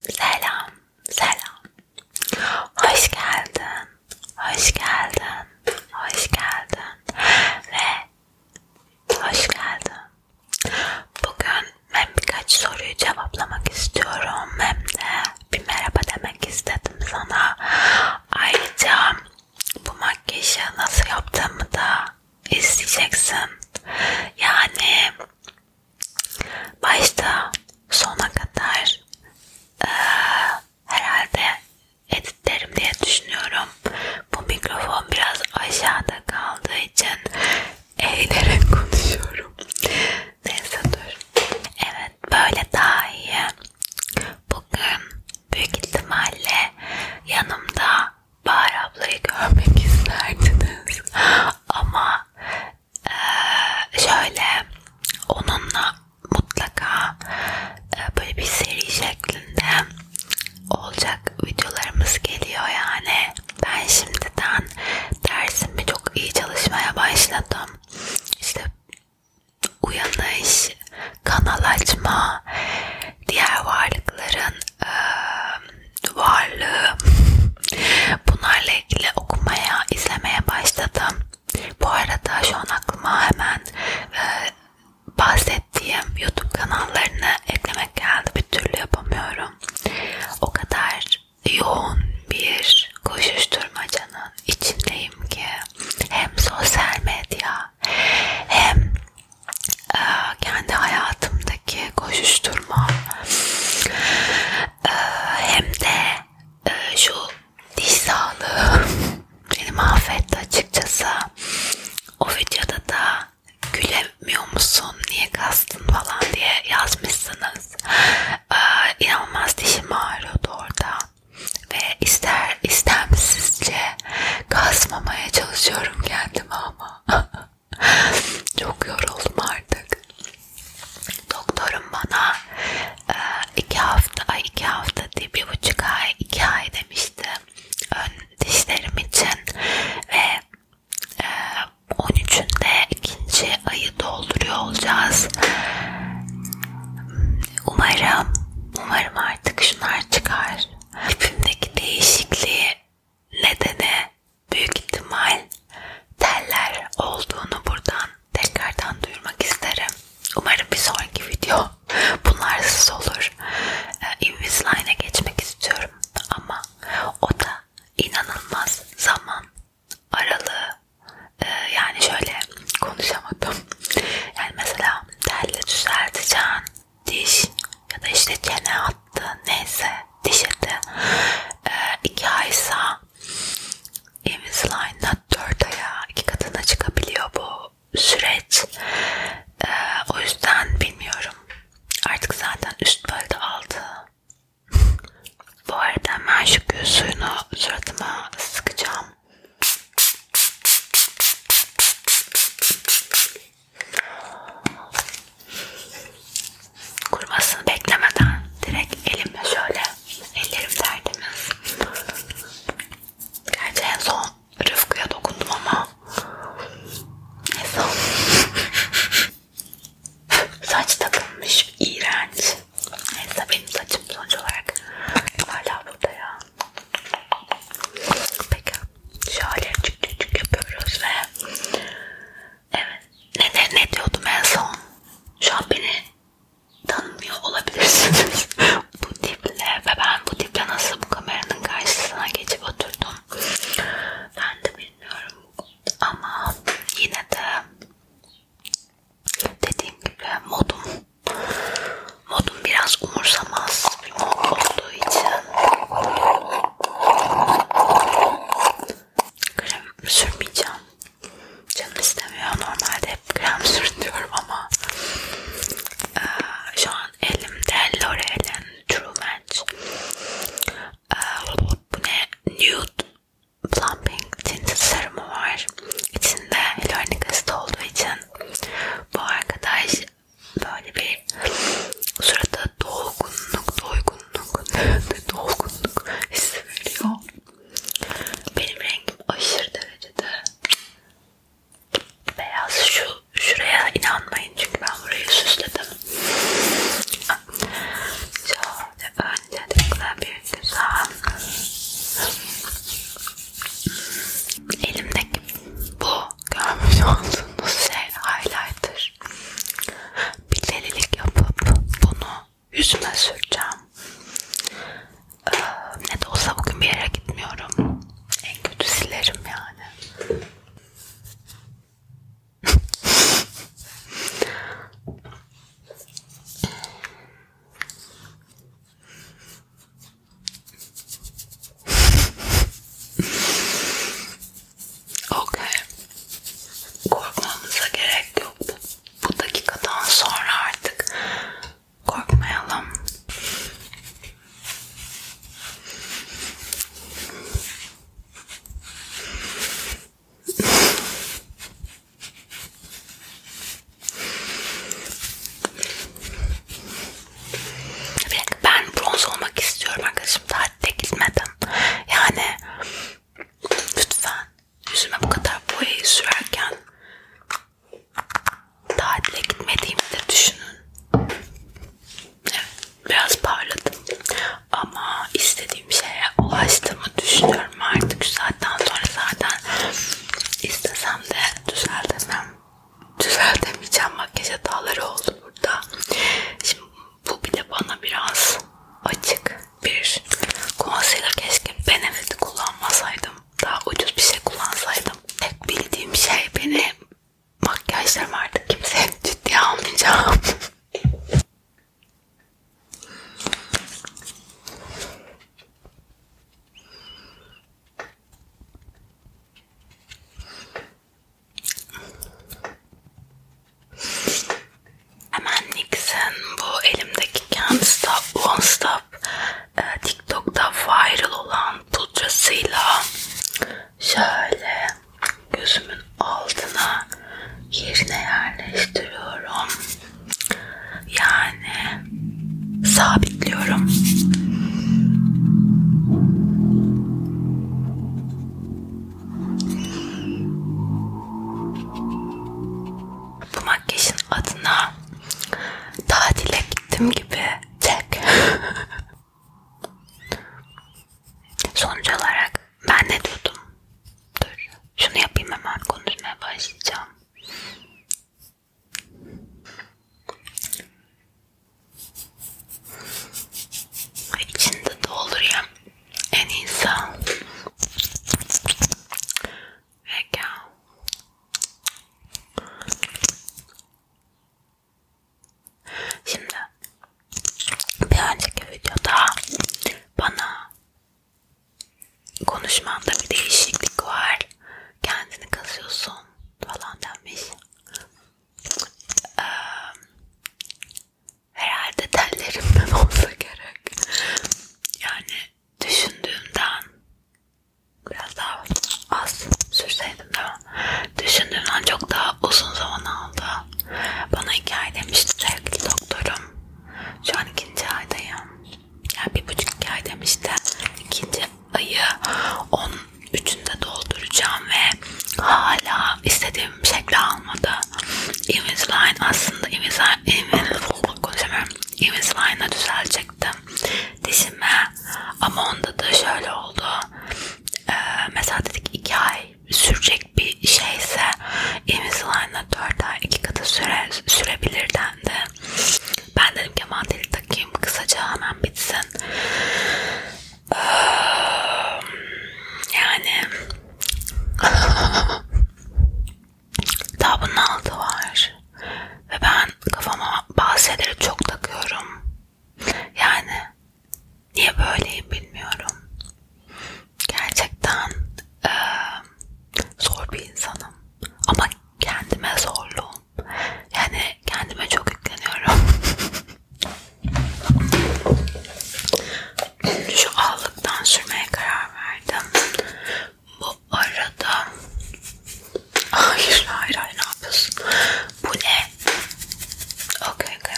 Selam, selam. Hoş geldin, hoş geldin, hoş geldin ve hoş geldin. Bugün ben birkaç soruyu cevaplamak istiyorum. Hem de bir merhaba demek istedim sana. Ayrıca bu makyajı nasıl yaptığımı da isteyeceksin. Yani başta sona kadar e, herhalde editlerim diye düşünüyorum. Bu mikrofon biraz aşağıda kaldığı için eğilerek konuşuyorum. Neyse dur. Evet böyle daha iyi. Bugün büyük ihtimalle yanımda Bahar ablayı görmek isterdiniz. Ama e, şöyle onunla mutlaka e, böyle bir seri şeklinde olacak videolarımız geliyor yani. Ben şimdiden dersimi çok iyi çalışmaya başladım. İşte uyanış, kanal açma, diğer varlıkların e, varlığı bunlarla ilgili okumaya, izlemeye başladım. Bu arada şu an aklıma hemen e, bahsettiğim YouTube kanallarını eklemek geldi. Bir türlü yapamıyorum. O kadar yoğun bir koşuşturmacanın içindeyim ki hem sosyal medya hem e, kendi hayatımda arasındaki koşuşturma hem de şu diş sağlığı beni mahvetti açıkçası. O videoda da gülemiyor musun, niye kastın falan diye yazmışsınız. Ee, inanılmaz dişim ağrıyordu orada. Ve ister istemsizce kasmamaya çalışıyorum kendimi ama Çok yoruldum artık. Doktorum bana e, iki hafta, ay iki hafta değil bir buçuk ay, iki ay demişti ön dişlerim için ve 13'ünde e, ikinci ayı dolduruyor olacağız. Umarım, umarım artık şunlar çıkar. Hepimdeki değişikliği nedeni büyük ihtimal teller olduğunu buradan tekrardan duyurmak isterim. Umarım bir sonraki video bunlarsız olur. Ee, Invisalign'e geçmek istiyorum ama o da inanılmaz zaman aralığı ee, yani şöyle konuşamadım. Yani mesela telle düzelteceksin, diş ya da işte çene attı neyse diş eti ee, iki aysa Invisalign'da 4 aya iki katına çıkabiliyor bu süreç ee, o yüzden bilmiyorum artık zaten üst bölde aldı bu arada hemen şu gül suyunu suratıma sıkacağım Kurumasını beklemeden direkt elimle şöyle ellerim tertemiz. Gerçi en son Rıfkı'ya dokundum ama neyse. Saç takılmış. iğrenç. Neyse benim saçım sonuç olarak hala burada ya. Peki şöyle çık çık çık yapıyoruz ve evet ne, ne diyordum en son şu an beni tanımıyor olabilirsiniz bu tiple ve ben bu tiple nasıl bu kameranın karşısına geçip oturdum ben de bilmiyorum ama yine de dediğim gibi modum modum biraz umursamaz bir mod olduğu için Krem sürmeyeceğim. Canım istemiyor. Normalde hep krem sürtüyorum ama ee, şu an elimde L'Oreal'in True Match ee, bu ne? Nude Plumping Tinted Serumu var. İçinde hyaluronik asit olduğu için bu arkadaş böyle bir sırada dolgunluk, dolgunluk, dolgunluk hissi veriyor. Benim rengim aşırı derecede beyaz. Şu şuraya inanmayın çünkü ben burayı süsledim. Şöyle öncelikle bir güzel elimdeki bu görmüş olduğunuz şey highlighter. Bir delilik yapıp bunu yüzüme süreceğim. Ee, ne de olsa bugün bir yere gitmiyorum. En kötü silerim yani. Okey. Korkmamıza gerek yok. Bu dakikadan sonra artık korkmayalım. Bir dakika, ben bronz olmak istiyorum arkadaşım tatile gitmeden. Yani lütfen yüzüme bu kadar boyayı sürerken tatile gitmediğimi de düşünün. Evet, biraz parladım. Ama istediğim şeye ulaştığımı düşünüyorum artık. Şu saatten sonra zaten istesem de düzeltemem düzeltemeyeceğim. Makyaj hataları oldu burada. Şimdi bu bile bana biraz açık bir concealer. Keşke Benefit'i kullanmasaydım. Daha ucuz bir şey kullansaydım. Tek bildiğim şey benim makyajlarım artık kimseye ciddiye almayacağım. Hemen Nixon bu elimdeki Can't Stop Won't Stop e, TikTok'ta viral olan pudrasıyla şöyle gözümün altına yerine yerleştiriyorum. Yani sabitliyorum. Bu makyajın adına tatile gittim gibi tek. Sonuç olarak ben de durdum. Dur. Şunu yapayım hemen konuşmaya başlayacağım. İçinde doldurayım en iyisi. Vegan. Şimdi bir önceki videoda bana konuşmanda bir değişiklik var. Kendini kasıyorsun falan denmiş. Ee, herhalde tellerimden olsa gerek. Yani düşündüğümden biraz daha az sürseydim değil mi? Düşündüğümden çok daha uzun zaman aldı. Bana iki ay demişti sevgili doktorum. Şu an ikinci aydayım. Yani bir buçuk iki ay demişti. İkinci ayı 13'ünde dolduracağım ve hala istediğim şekli almadı. Invisalign aslında Invisalign, Invisalign konuşamıyorum. Invisalign'a düzelecektim dişime ama onda da şöyle oldu. Ee, mesela dedik 2 ay sürecek bir şeyse Invisalign'a 4 ay 2 katı süre, sürebilir dendi. Ben dedim ki aman deli takayım kısaca hemen bitsin. Ee, yani daha bunun altı var ve ben kafama bazı şeyleri çok takıyorum. Yani niye böyleyim bilmiyorum. Gerçekten e, zor bir insanım. Ama kendime zorluğum. Yani kendime çok yükleniyorum. Şu allıktan sürmeye karar verdim. Bu arada hayır hayır hayır ne yapıyorsun? Bu ne? Okay, okay.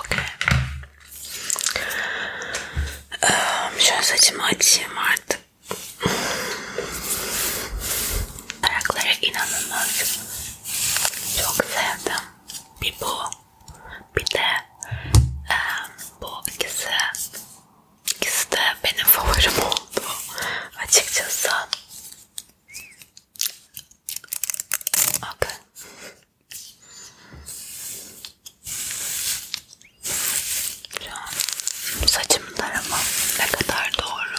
Okay. Şöyle saçımı açayım artık. Taraklara inanılmaz. Çok sevdim. Bir bu. Bir de um, bu ikisi. İkisi de benim favorim oldu. Açıkçası. Okay. Saçımı tarama ne kadar doğru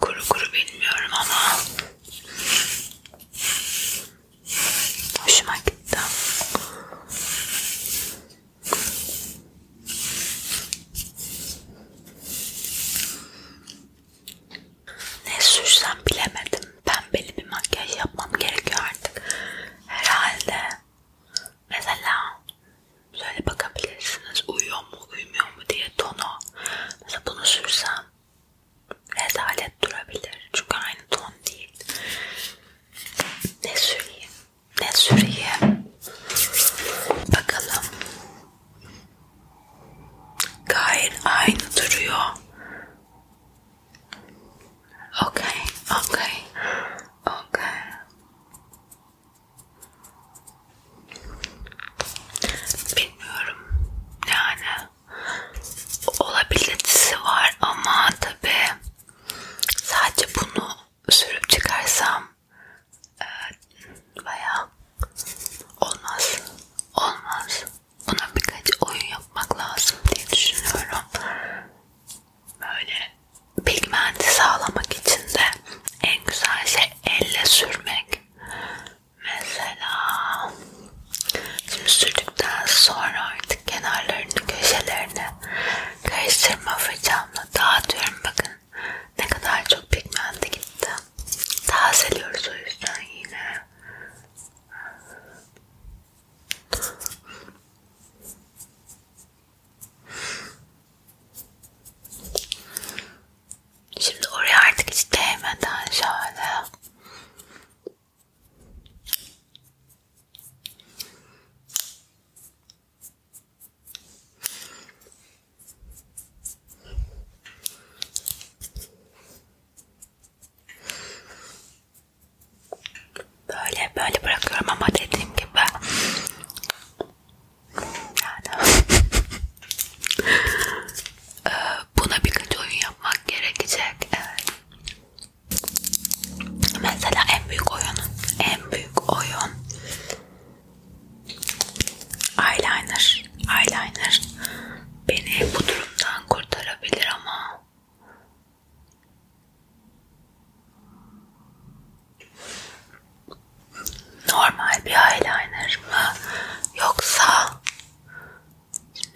kuru kuru bilmiyorum ama hoşuma gitti. Ne sürsem bilemedim pembeli bir makyaj yapmam gerekiyor artık. Herhalde mesela şöyle bakabilirsiniz uyuyor mu uyumuyor mu diye tonu. Mesela bunu sürsem rezalet durabilir. Çünkü aynı ton değil. Ne süreyim? Ne süreyim? Bakalım. Gayet aynı duruyor. Okay, okay, okay. Bilmiyorum yani olabilitesi var ama tabi sadece bunu sürüp çıkarsam e, bayağı olmaz, olmaz bunun birkaç oyun yapmak lazım diye düşünüyorum. Böyle pigmenti sağlamak için de en güzel şey elle sürmek. Mesela şimdi sürdükten sonra artık kenarlarını, köşelerini karıştırma fırçamla dağıtıyorum. Bakın ne kadar çok pigmenti gitti. Tazeliyoruz o yüzden yine. Şimdi oraya artık hiç değmeden şöyle Böyle böyle bırakıyorum ama dediğim gibi yani ee, buna birkaç oyun yapmak gerekecek. Evet. Mesela en büyük oyun, en büyük oyun eyeliner, eyeliner beni bu durumdan kurtarabilir ama Normal bir eyeliner mı? Yoksa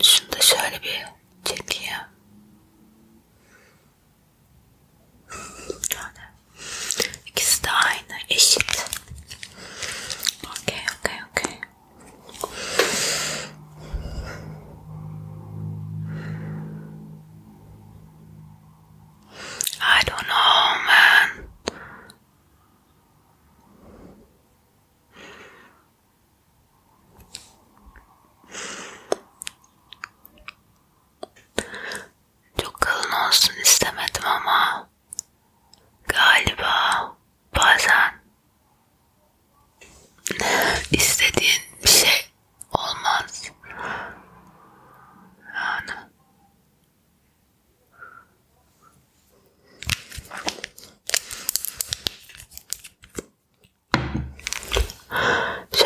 şunu da şöyle bir çekeyim. Öyle. İkisi de aynı, eşit. Okey, okey, okey. I don't know, man. Çok kalın olsun istemedim ama galiba bazen istediğin bir şey olmaz. Yani.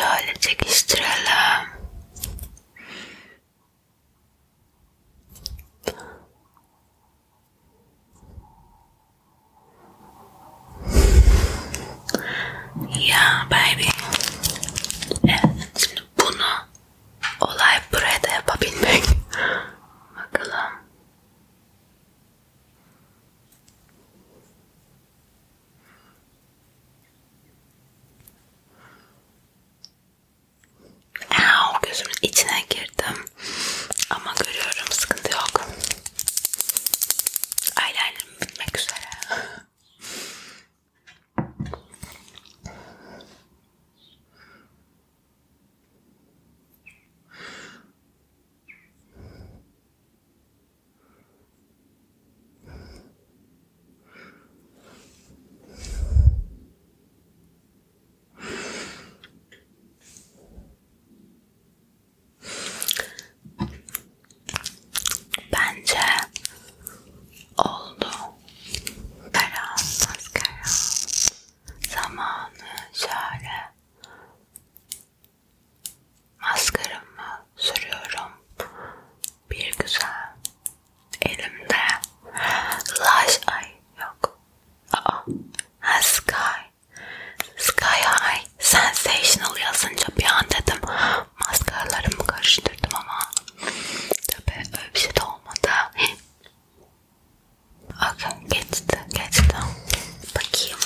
Şöyle çekiştirelim. Ya baby. Evet. Bunu olay burada yapabilmek. Bakalım. Ow, gözümün içine girdim. Ama görüyorum sıkıntı yok. Eyelinerim bitmek üzere. Bence oldu. Karanlık karanlık. Zamanı şöyle. Maskaramı sürüyorum. Bir güzel. Elimde laş ay yok. Aa, sky. Sky High Sensational yazınca bir an dedim maskaralarımı karıştırdım ama tabi öyle bir şey de olmadı. Okay, geçti, geçti. Bakayım.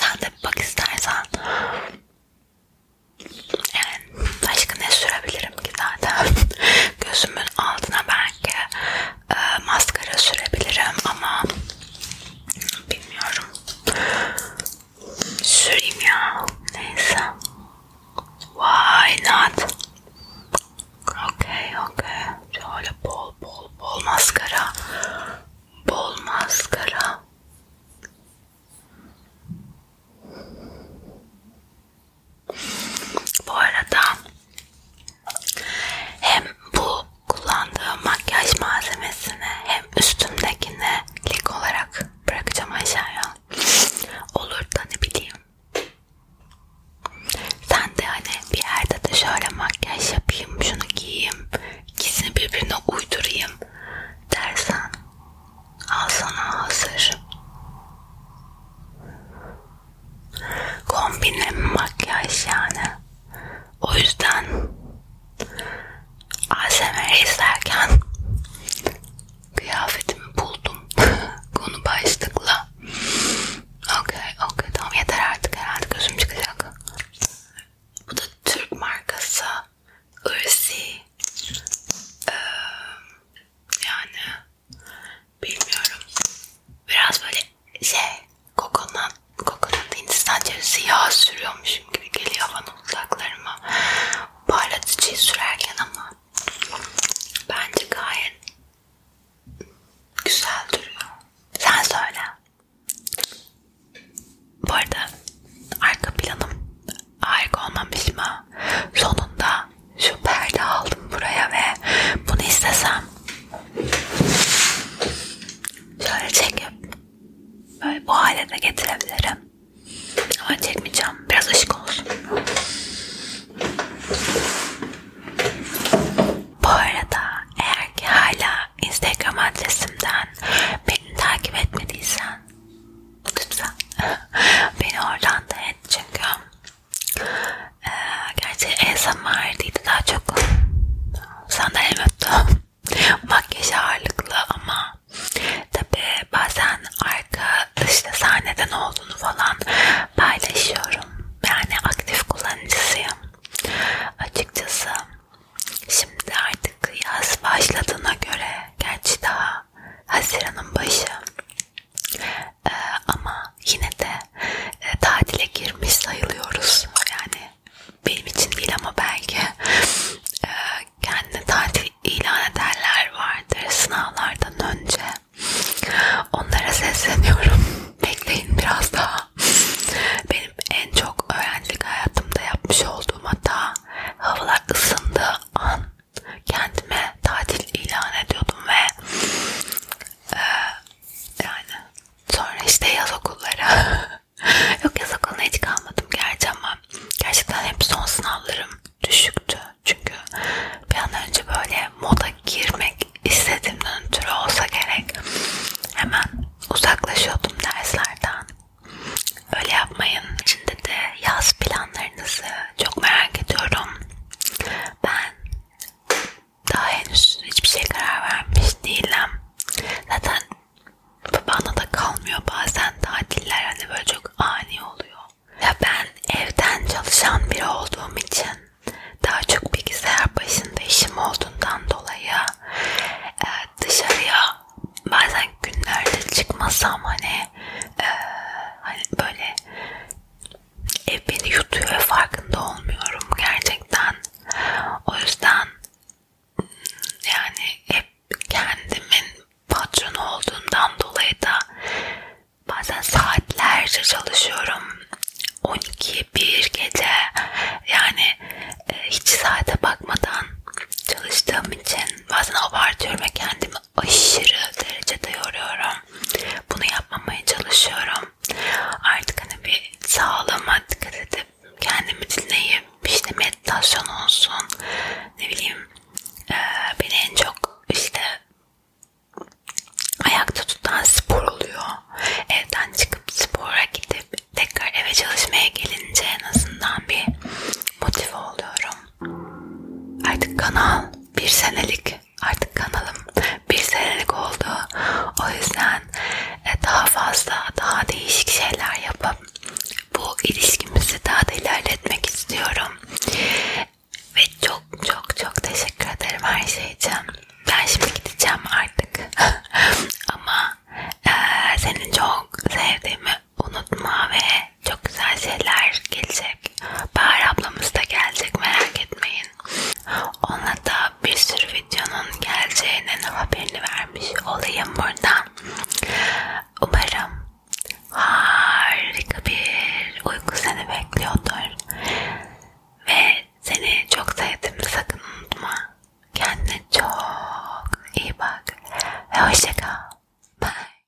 Sen de bak istersen. Yani başka ne sürebilirim ki zaten? Gözümün altına belki e, maskara sürebilirim ama bilmiyorum süreyim ya neyse why not okey okey şöyle bol bol bol maskara bol maskara bu arada hem bu kullandığım makyaj malzemesini hem üstümdekini lik olarak bırakacağım aşağıya. Olur da ne bileyim. Sen de hani bir yerde de şöyle makyaj yapayım, şunu giyeyim, ikisini birbirine uydurayım dersen al sana hazır kombinle mi makyaj yani. O yüzden ASMR izlerken kıyafetimi buldum konu başlıkla. Okey okey tamam yeter artık herhalde gözüm çıkacak. Bu da Türk markası Irsi. Ee, yani Bilmiyorum. Biraz böyle şey kokonat, kokonat Hindistan cevizi yağ sürüyormuşum gibi geliyor bana uzaklarıma. Parlatıcıyı sürerken ama bence gayet güzel duruyor. Sen söyle. Bu arada arka planım harika olmamış mı? Sonunda şu perde aldım buraya ve bunu istesem şöyle çekip böyle bu hale de getirebilirim. Ama çekmeyeceğim. Biraz ışık olsun. Bu arada eğer ki hala Instagram adresimden beni takip etmediysen lütfen beni oradan da et çünkü ee, gerçi ASMR'deydi daha çok sandalyem öptü makyaj ağırlıklı ama tabi bazen arka işte sahneden olduğunu falan paylaşıyorum yani aktif kullanıcısıyım açıkçası şimdi artık yaz başladığına göre gerçi daha Haziran'ın başı ee, ama yine de e, tatile girmiş sayılıyoruz. Yani benim için değil ama belki e, kendine tatil ilan edenler vardır sınavlardan önce. Onlara sesleniyorum. Bekleyin biraz daha. Benim en çok öğrencilik hayatımda yapmış olduğum hata havalar ısındığı an kendime tatil ilan ediyordum ve e, yani sonra işte yaz okullara yok yaz okuluna hiç kalmadım gerçi ama gerçekten hep son sınavlarım düşüktü çünkü bir an önce böyle moda girmek istediğimden ötürü olsa gerek hemen uzaklaşıyordum derslerden öyle yapmayın. Şimdi de yaz planlarınızı çok merak ediyorum. Ben daha henüz hiçbir şey karar vermiş değilim. Zaten bana da kalmıyor bazen tatiller hani böyle çok ani oluyor. Ya ben evden çalışan biri olduğum için daha çok bilgisayar başında işim olduğundan dolayı e, dışarıya bazen günlerde çıkmasam hani e, hani böyle ev beni yutuyor ve farkında olmuyorum gerçekten. O yüzden hmm, yani hep kendimin patronu olduğumdan dolayı da bazen saatlerce çalışıyorum. 12 bir gece yani e, hiç saate bakmadan çalıştığım için bazen abartıyorum ve kendimi aşırı derecede yoruyorum. Bunu yapmamaya çalışıyorum. Artık hani bir sağlığıma dikkat edip kendimi dinleyip işte meditasyon olsun ne bileyim e, beni en çok işte ayakta tutan spor oluyor. Evden çıkıp spora gidip tekrar eve çalışmaya gelince en azından bir motive oluyorum. Artık kanal bir senelik artık kanalım bir senelik oldu. O yüzden e, daha fazla daha değişik şeyler yapıp bu ilişkimizi daha da ilerletmek istiyorum. Ve çok çok çok teşekkür ederim her şey için. Ben şimdi gideceğim artık. Ama e, senin çok sevdiğimi unutma ve çok güzel şeyler gelecek. Bahar ablamız da gelecek merak etmeyin. Ona da bir sürü videonun geleceğinin haberini vermiş olayım buradan. Umarım harika bir uyku seni bekliyordur. Ve seni çok sevdim sakın unutma. Kendine çok iyi bak ve hoşça kal. Bye.